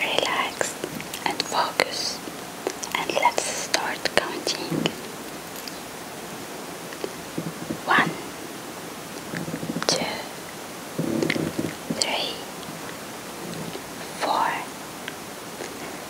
Relax and focus, and let's start counting. One, two, three, four,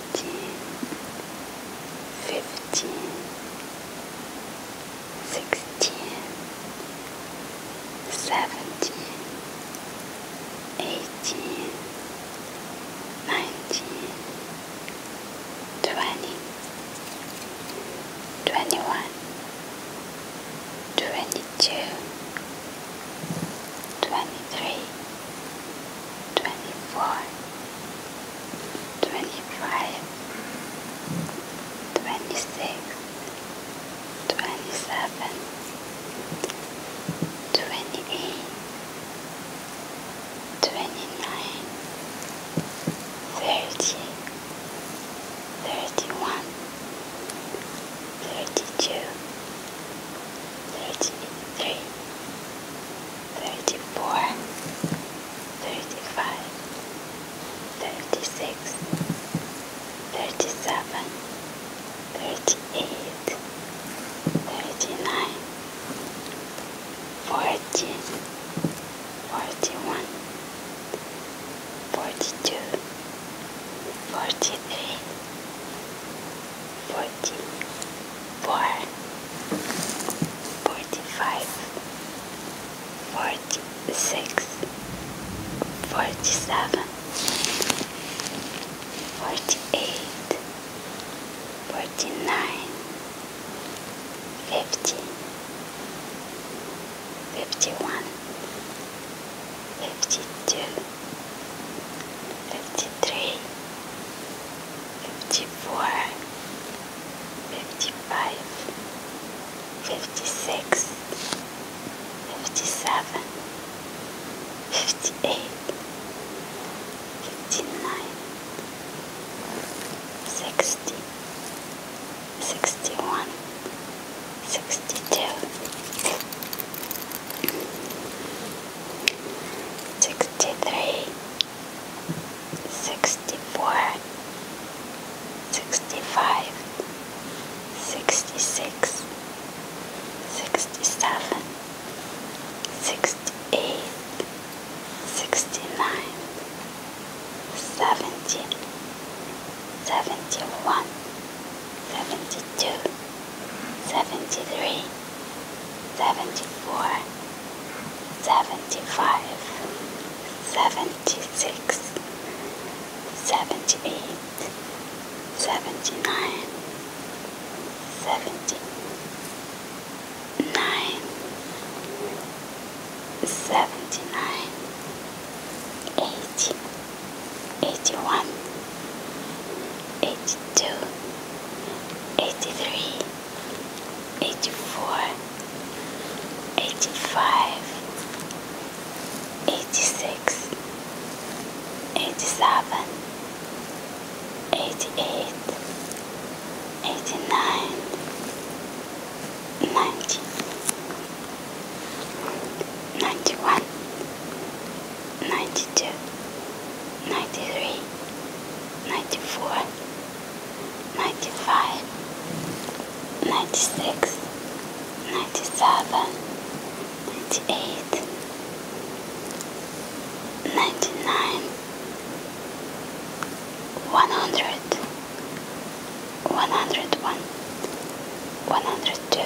15, 16, 17, 18, 19, 20, 21, 22, 23. 24 25 26 27 28 29 30 31 32 33 34 35 36 37 38 39 40 41 42 43 44 45 46 47 48 49 50 51 52 53 54 55 56 57 58 59 60 61 62 Sixty-three, sixty-four, sixty-five, sixty-six, sixty-seven, sixty-eight, sixty-nine, seventy, seventy-one, seventy-two. 73, 74, 75, 76, 78, 79, 79, 80, 81, 82, 83, 84, 85, 86, 87, 88, 89, 90. 91 92, 93, 94, 95, 96, 97, 98, 99, 100, 101, 102,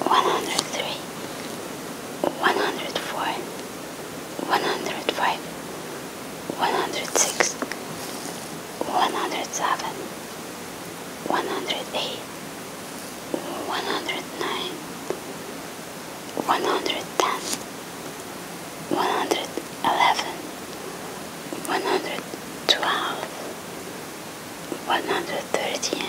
103, 104 105 106 107 108 109 110 111 112 113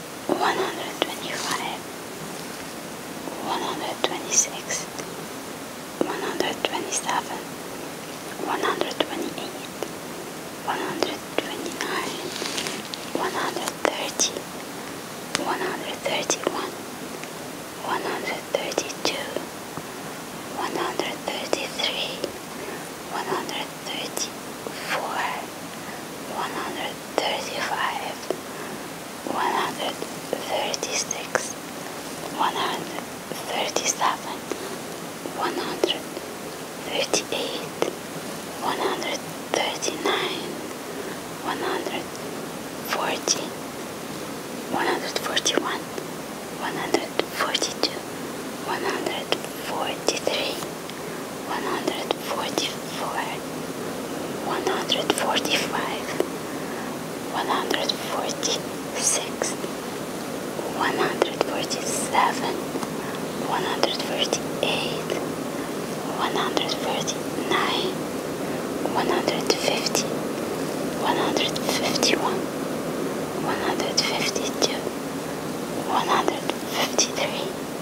one hundred twenty five, one hundred twenty six, one hundred twenty seven, one hundred twenty eight, one hundred twenty nine, one hundred thirty, one hundred thirty one, one hundred thirty two, one hundred thirty three, one hundred thirty four, one hundred 135, 136, 137, 138, 139, 140, 141, 142, 143 one hundred forty-four, one hundred forty-five, one hundred forty-six, one hundred forty-seven, one hundred forty-eight, one hundred forty-nine, one hundred fifty, one hundred fifty-one, one hundred fifty-two, one hundred fifty-three.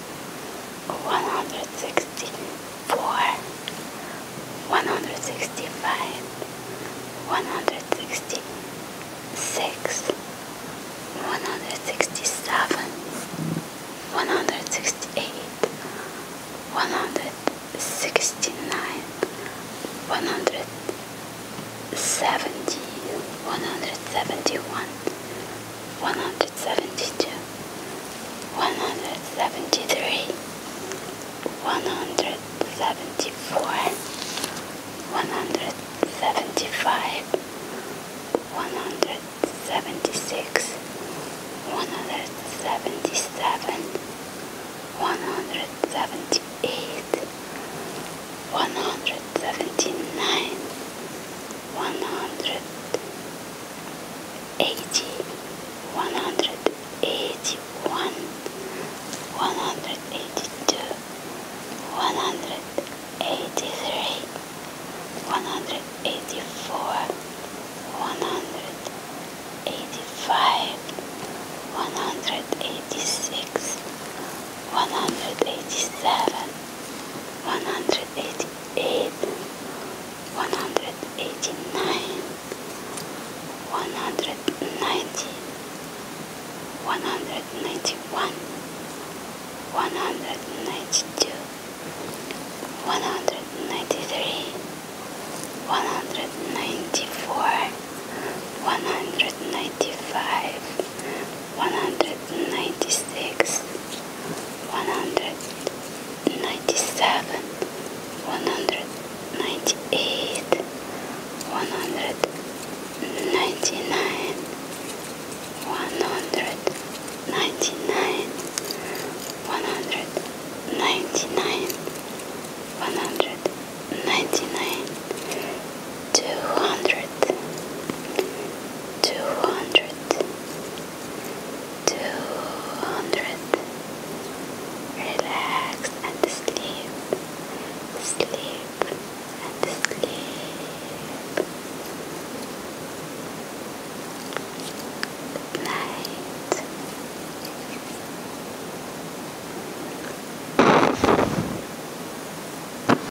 164, 165, 166, 167, 168, 169, 170, 171, 172 173 174 175 176 177 178 one hundred seventy nine, one hundred eighty, one hundred eighty one, one hundred eighty two, one hundred eighty three, one hundred eighty four, one hundred eighty five, one hundred eighty six, one hundred eighty seven one hundred eighty eight, one hundred eighty nine, one hundred ninety, one hundred ninety one, one hundred ninety two, one hundred ninety three, one hundred ninety four, one hundred ninety five. 196 197 198 199 199 199 199 two hundred, two hundred, two hundred. Relax and sleep, sleep and sleep. Good night.